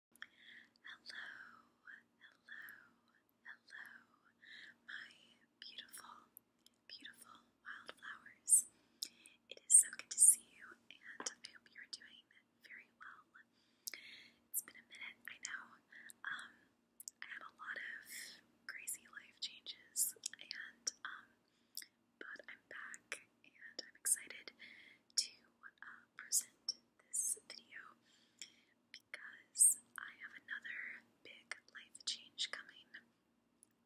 Hello, hello, hello, my beautiful, beautiful wildflowers. It is so good to see you, and I hope you are doing very well. It's been a minute, I know. I had a lot of crazy life changes, and but I'm back, and I'm excited to uh, present this video because I have another big life change coming.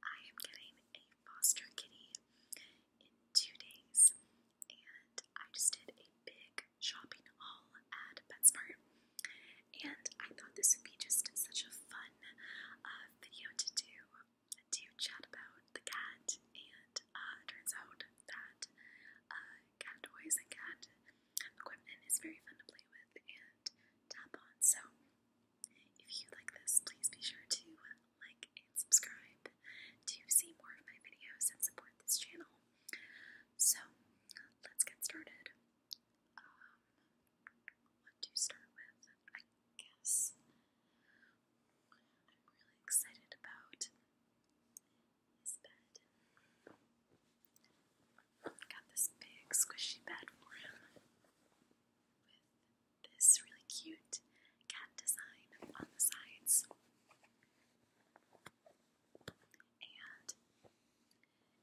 I am getting a foster kitty in two days, and I just did a big shopping haul at PetSmart. And I thought this would be just such a fun uh, video to do, to chat about the cat and and uh, turns out that uh, cat toys and cat equipment is very fun to play with and tap on. So, if you like this, please be sure to uh, like and subscribe to see more of my videos and support this channel. So, let's get started. Um, what do start with? I guess I'm really excited about his bed. Got this big squishy bed for him with this really cute cat design on the sides. And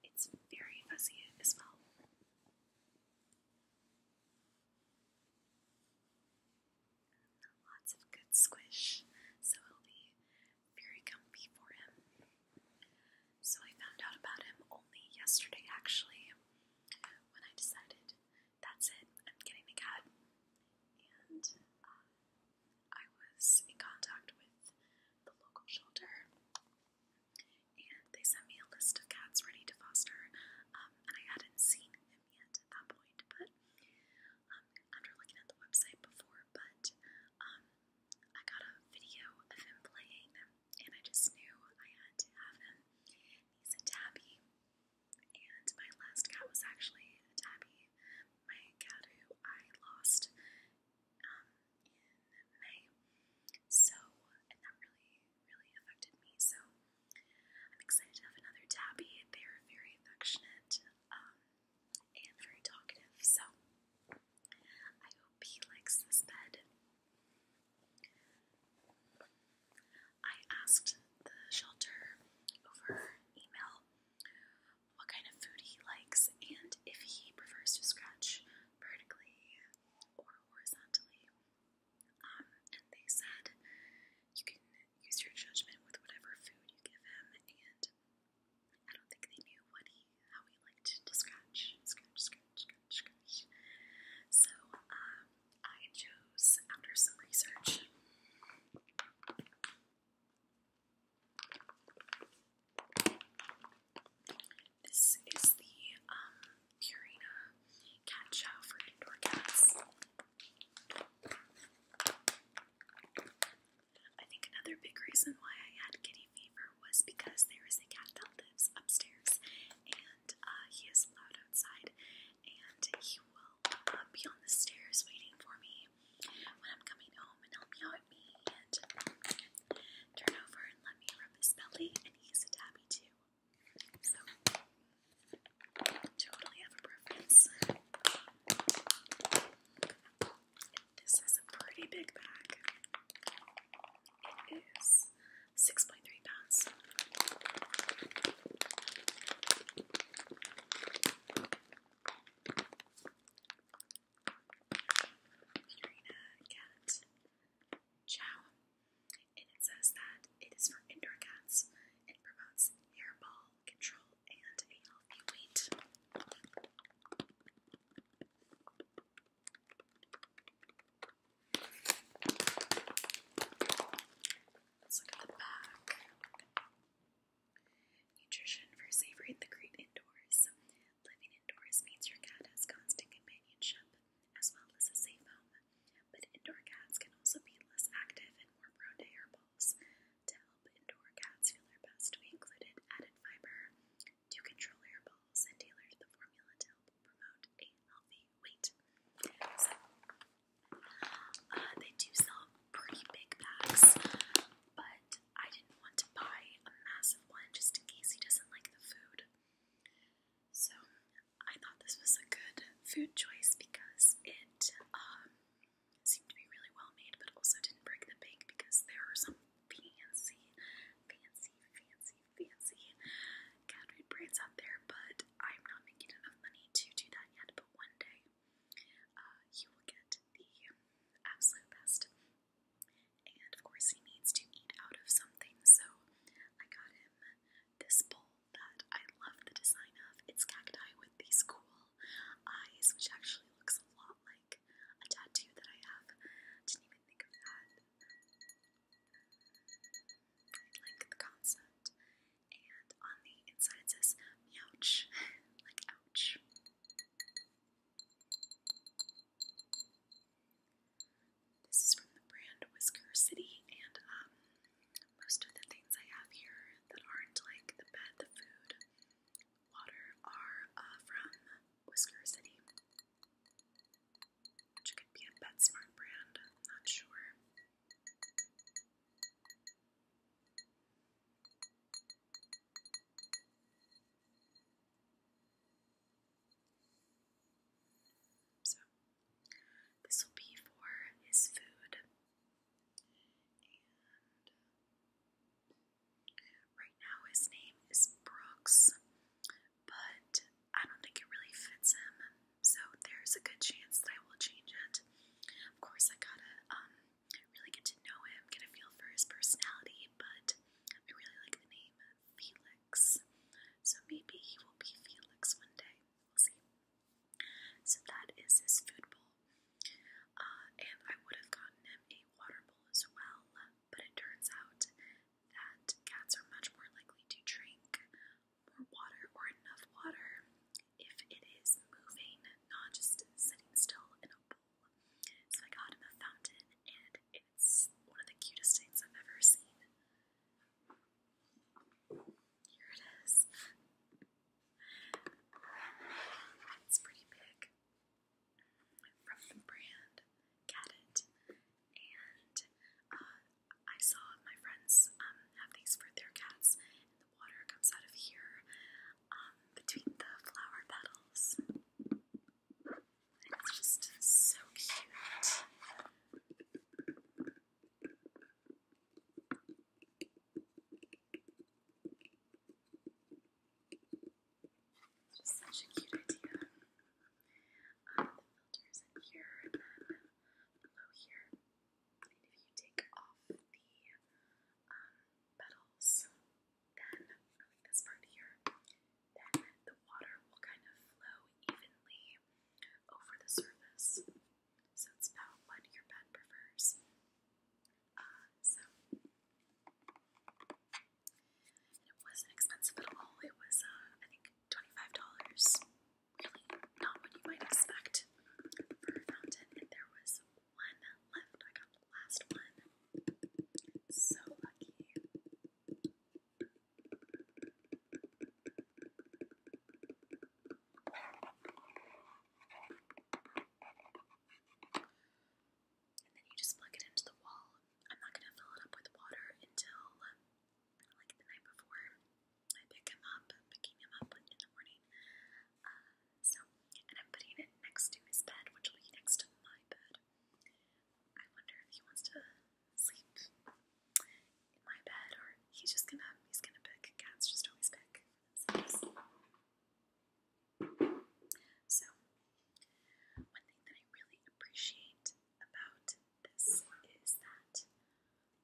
it's very fuzzy as well. Lots of good squish, so it'll be very comfy for him. So I found out about him only yesterday, actually, when I decided that's it, I'm getting the cat. And uh, I was in contact with the local shelter, and they sent me a list of cats ready to foster. Um, and I hadn't seen him yet at that point, but um, after looking at the website before, but um, I got a video of him playing, and I just knew I had to have him. He's a tabby, and my last cat was actually a tabby, my cat who I lost um, in May. So, and that really, really affected me. So, I'm excited to have another tabby. They are very affectionate um, and very talkative, so I hope he likes this bed. I asked the shelter over email what kind of food he likes and if he prefers to scratch vertically or horizontally um, and they said you can use your judgment with whatever food you give him, and I don't think they knew what how he liked to scratch, scratch, scratch, scratch, scratch. So um, I chose after some research. This is the um, Purina cat chow for indoor cats. I think another big reason why I had kitty fever was because there is a cat that lives upstairs and uh, he is loud outside and he will uh, be on the stairs waiting for me when I'm coming home and help me out at me and turn over and let me rub his belly and he's a tabby too totally have a preference. This is a pretty big bag. It is 6.3 pounds. Urina Cat Chow and it says that it is for indoor cats and promotes hairball control and a healthy weight. Let's the back. Nutrition for savoring the great indoors. Living indoors means your cat has constant companionship as well as a safe home but indoor cats can also be less active and more prone to hairballs. To help indoor cats feel their best, we included added fiber to control hairballs and tailored the formula to help promote a healthy weight. So, uh, they do sell pretty big packs, but I didn't want to buy a massive one just in case he doesn't like the food. So I thought this was a good food choice because it um, seemed to be really well made, but also didn't break the bank because there are some fancy, fancy, fancy, fancy cat food brands out there, but I'm not making enough money to do that yet. But one day, uh, you will get the absolute best. And of course, he needs to eat out of something, so I got him this bowl that I love the design of, it's cacti with these cool eyes, which actually looks a lot like a tattoo that I have. Didn't even think of that. I like the concept. And on the inside it says meowch, like ouch. This is from the brand Whisker City, and um, most of the things I have here that aren't like the bed, the food, water are uh, from Whisker City, could be a PetSmart brand. not sure. So this will be for his food. right now his name is Brooks, but I don't think it really fits him, so there's a good chance that I will change it. Of course, I gotta um really get to know him, get a feel for his personality, but I really like the name Felix, so maybe he will be Felix one day we'll see. So that is his food bowl. Uh, and I would have gotten him a water bowl as well, but it turns out that cats are much more likely to drink more water or enough water if it is moving, not just sitting still in a bowl. So I got him a fountain, and it's one of the cutest things I've ever seen. Here it is. It's pretty big. From the brand Gadget. And uh, I saw my friends um, have these for their cats, and the water comes out of here um, between the flower petals. It's just so cute. It's just such a cute idea. Um, the filters in here and then below here. And if you take off the um, petals, then, this part here, then the water will kind of flow evenly over the surface. So it's about what your bed prefers. Uh, so it wasn't expensive at all. It was, uh, I think, twenty-five dollars. Really, not what you might expect for a fountain. And there was one left. I got the last one. So lucky. And then you just plug it into the wall. I'm not going to fill it up with water until um, like the night before I pick him up. picking him up in the morning. Uh, so, and I'm putting it next to his bed, which will be next to my bed. I wonder if he wants to sleep in my bed or he's just gonna he's gonna pick. Cats just always pick So one thing that I really appreciate about this is that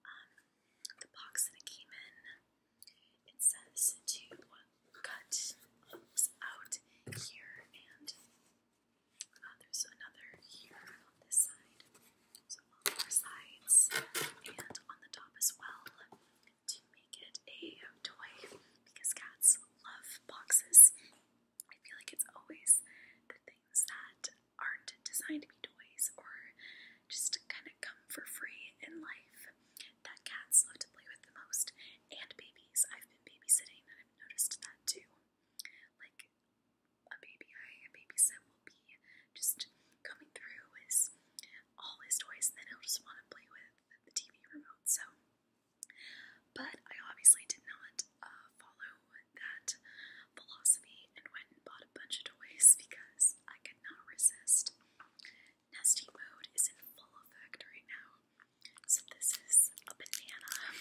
um, the box that it came in, it says to cut out here and uh, there's another here on this side, so four sides, and on the top as well to make it a toy because cats love boxes. I feel like it's always the things that aren't designed to be toys or just kind of come for free in life that cats love to play with the most, and babies. I've been babysitting and I've noticed that too like a baby I, a baby Sim will be just coming through his all his toys, and then he'll just want to play with the TV remote. So, but I obviously did not uh, follow that philosophy and went and bought a bunch of toys because I could not resist. Nesting mode is in full effect right now. So this is a banana.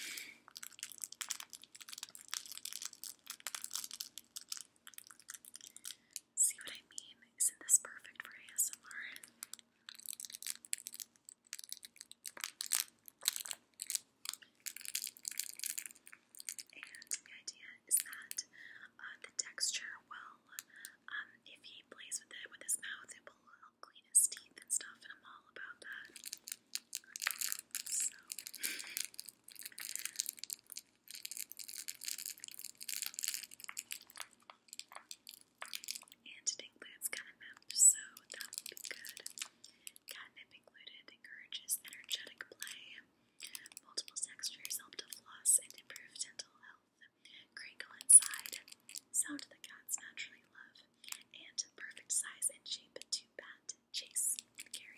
See what I mean? Isn't this perfect for ASMR? And the idea is that uh, the texture will, um, if he plays with it with his mouth, it will clean his teeth and stuff, and I'm all about that. So. and Dinklage catnip, so that will be good. Catnip included encourages energetic play. Multiple textures help to floss and improve dental health. Crinkle inside, sound the cats naturally love and perfect size and shape to bat, chase, carry.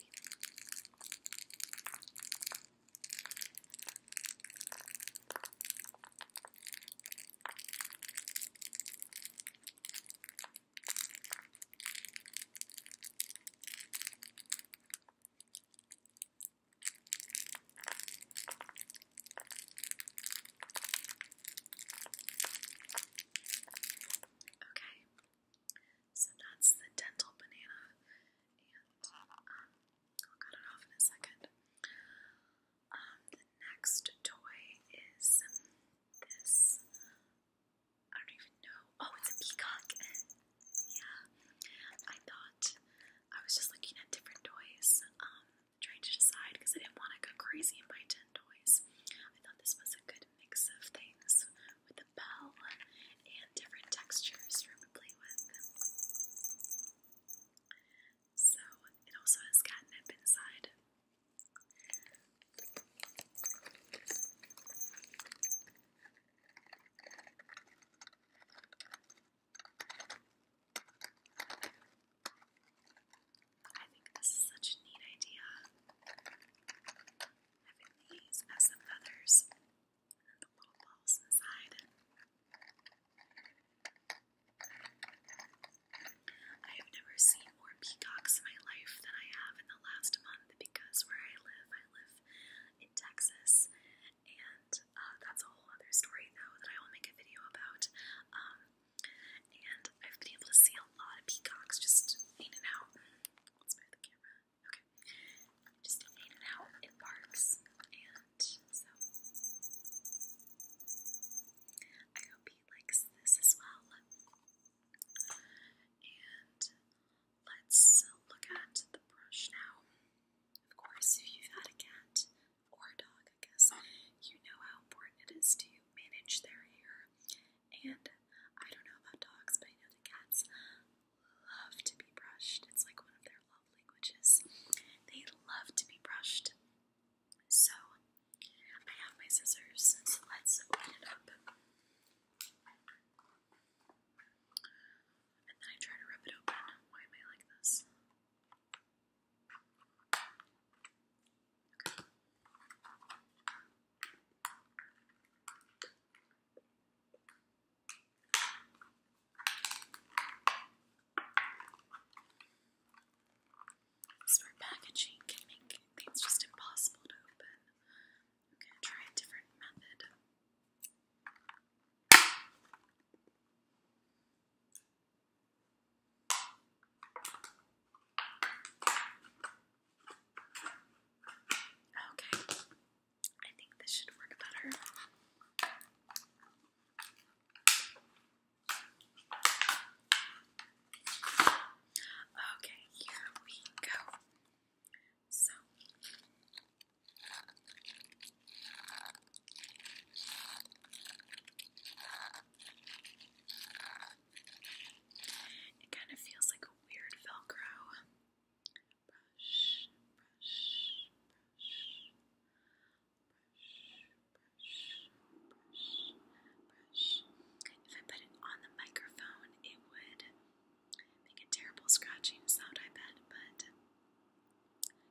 Okay, so that's the dental banana, and um, I'll cut it off in a second. Um, the next toy is this. I don't even know. Oh, it's a peacock. yeah, I thought I was just looking at different toys. Um, trying to decide because I didn't want to go crazy and buy 10 toys. I thought this was a good mix of things with a bell and different textures for him to play with. So, it also has catnip inside. I think this is such a neat idea. Having these as the feathers and the little balls inside. I have never seen more peacocks in my life than I have in the last month because where I live, I live in Texas, and uh, that's a whole other story though that I will make a video about. Um, and I've been able to see a lot of peacocks just in and out. Okay. Just in and out in parks. And so I hope he likes this as well. And let's look at the brush now. Of course, if you've had a cat, or a dog, I guess, you know how important it is to manage their hair. And I don't know about dogs, but I know the cats love to be brushed. It's like one of their love languages. They love to be brushed. So I have my scissors, so let's open it up. And then I try to rub it open. Why am I like this? Smart packaging can make things just impossible to open. I'm gonna try a different method. Okay, I think this should work better. Okay, here we go. So, it kind of feels like a weird Velcro. If I put it on the microphone, it would make a terrible scratching sound, I bet, but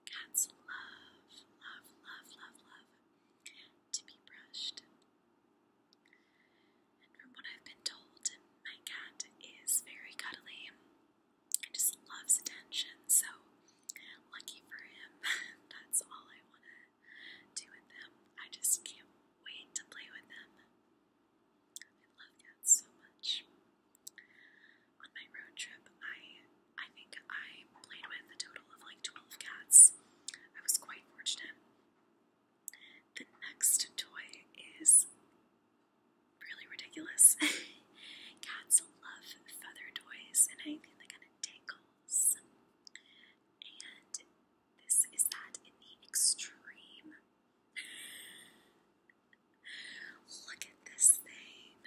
Cats love, love, love, love, love to be brushed. And from what I've been told, my cat is very cuddly and just loves attention, so lucky for him. That's all I want to do with them. I just can't wait to play with them. I love cats so much. On my road trip, I I think I played with a total of like 12 cats. I was quite fortunate. The next toy is really ridiculous. Cats love feather toys and anything that kind of tangles. And this is that in the extreme. Look at this thing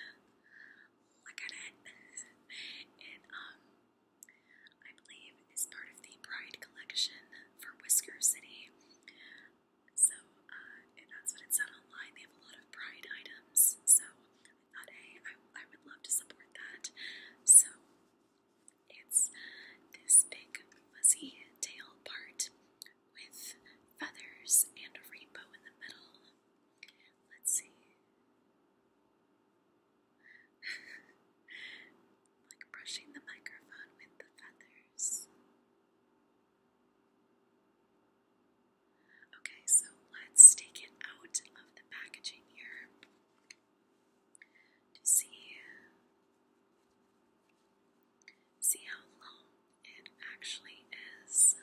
look at it. it um, I believe is part of the Pride collection for Whisker City. So uh, and that's what it said online. They have a lot of Pride items. So I thought, hey, I, I would love to support that. So it's this big fuzzy tail part with feathers and a rainbow in the middle. Let's see. like brushing the microphone with the feathers. Okay, so let's take it out of the packaging here to see see how long it actually is.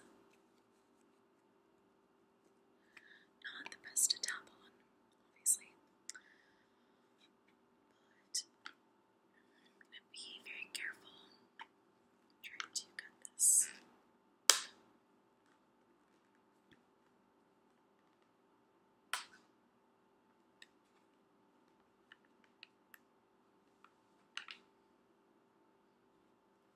Not the best to tap on, obviously. But I'm gonna be very careful trying to cut this. Okay, done.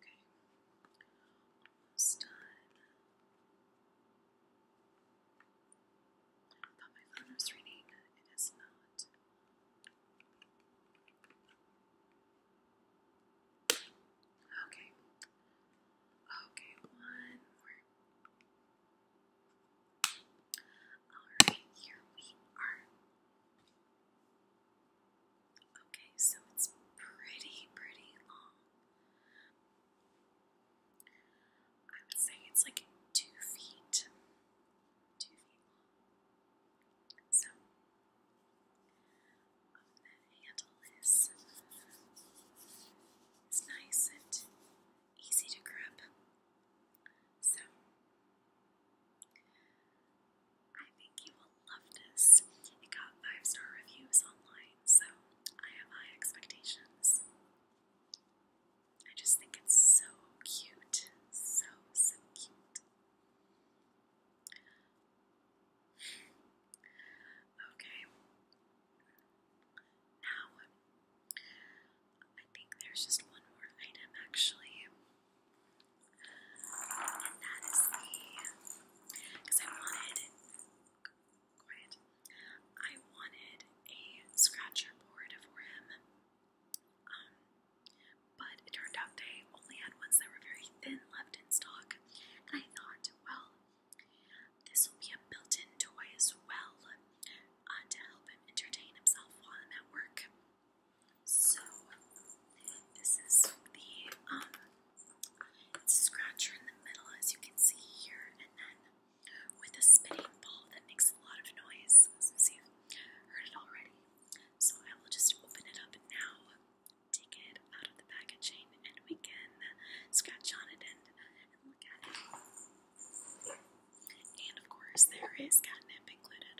thought my phone was ringing, it is not. Okay, okay, one more. Alright, here we are. Okay, so it's pretty, pretty long. I would say it's like two feet, two feet long. So, the handle is, is nice and easy to grab. So, I think you will love this. It got five star reviews online, so I have high expectations. I just think it's so cute. So, so cute. okay. Now, I think there's just one more item actually. And that is the, because I wanted, quiet, I wanted a scratcher board for him. Um, but it turned out they only had ones that were very thin left in stock. And I thought, well, this will be a built in toy as well uh, to help him entertain himself while I'm at work. So this is the um scratcher in the middle as you can see here and then with a spinning ball that makes a lot of noise See, you've heard it already. So I will just open it up now, take it out of the packaging and we can scratch on it and, and look at it. And of course there is catnip included.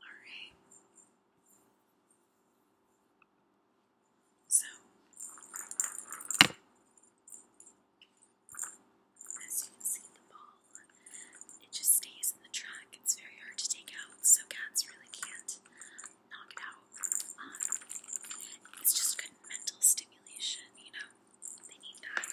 Alright. So, as you can see, the ball, it just stays in the track. It's very hard to take out, so cats really can't knock it out. Um, it's just good mental stimulation, you know? They need that.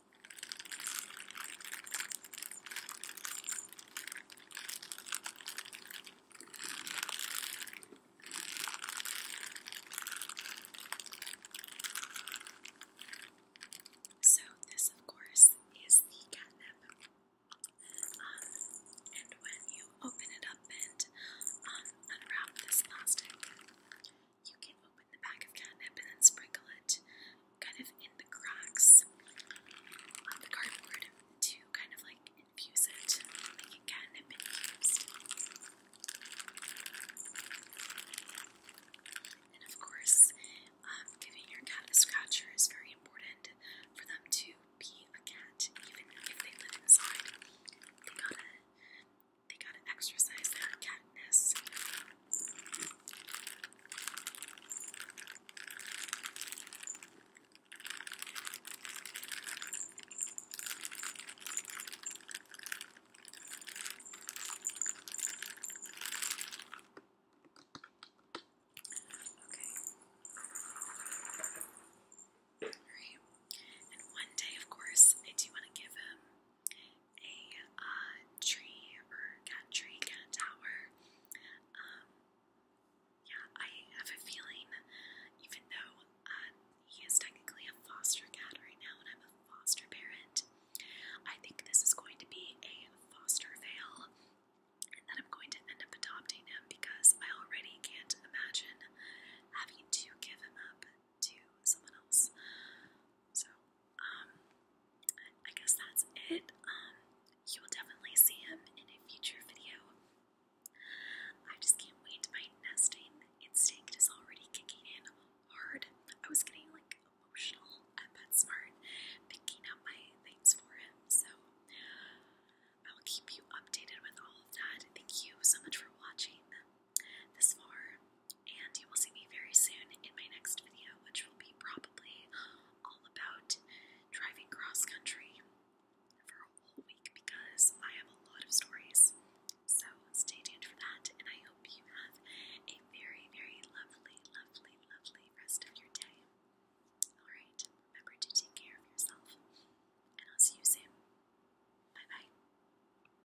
So, this, of course, is the catnip. Um, and when you open it up and um, unwrap this plastic, you can open the back of catnip and then sprinkle it kind of in the cracks of the cardboard to kind of like infuse it, making catnip And of course, um, giving your cat a scratcher is very important for them to be a cat, even if they live inside. They gotta exercise that catness. Okay. Alright. And one day, of course, I do want to give him a uh, tree or cat tree, cat tower. Um, yeah, I have a feeling, even though uh, he is technically a foster cat right now and I'm a foster parent, I think this is going to be a foster fail and that I'm going to end up adopting him because I already can't imagine having to give him up to someone else. So um, I guess that's it. Um, you will definitely see him in a future video. I just can't wait. My nesting instinct is already kicking in hard. I was getting like emotional at PetSmart picking out my things for him, so I will keep you updated with all of that. Thank you so much for watching this far, and you will see me very soon in my next video, which will be probably all about driving cross country for a whole week because I have a lot of stories. So stay tuned for that, and I hope you have a very, very lovely, lovely, lovely rest of your day. Alright, remember to take care of yourself, and I'll see you soon. Bye bye.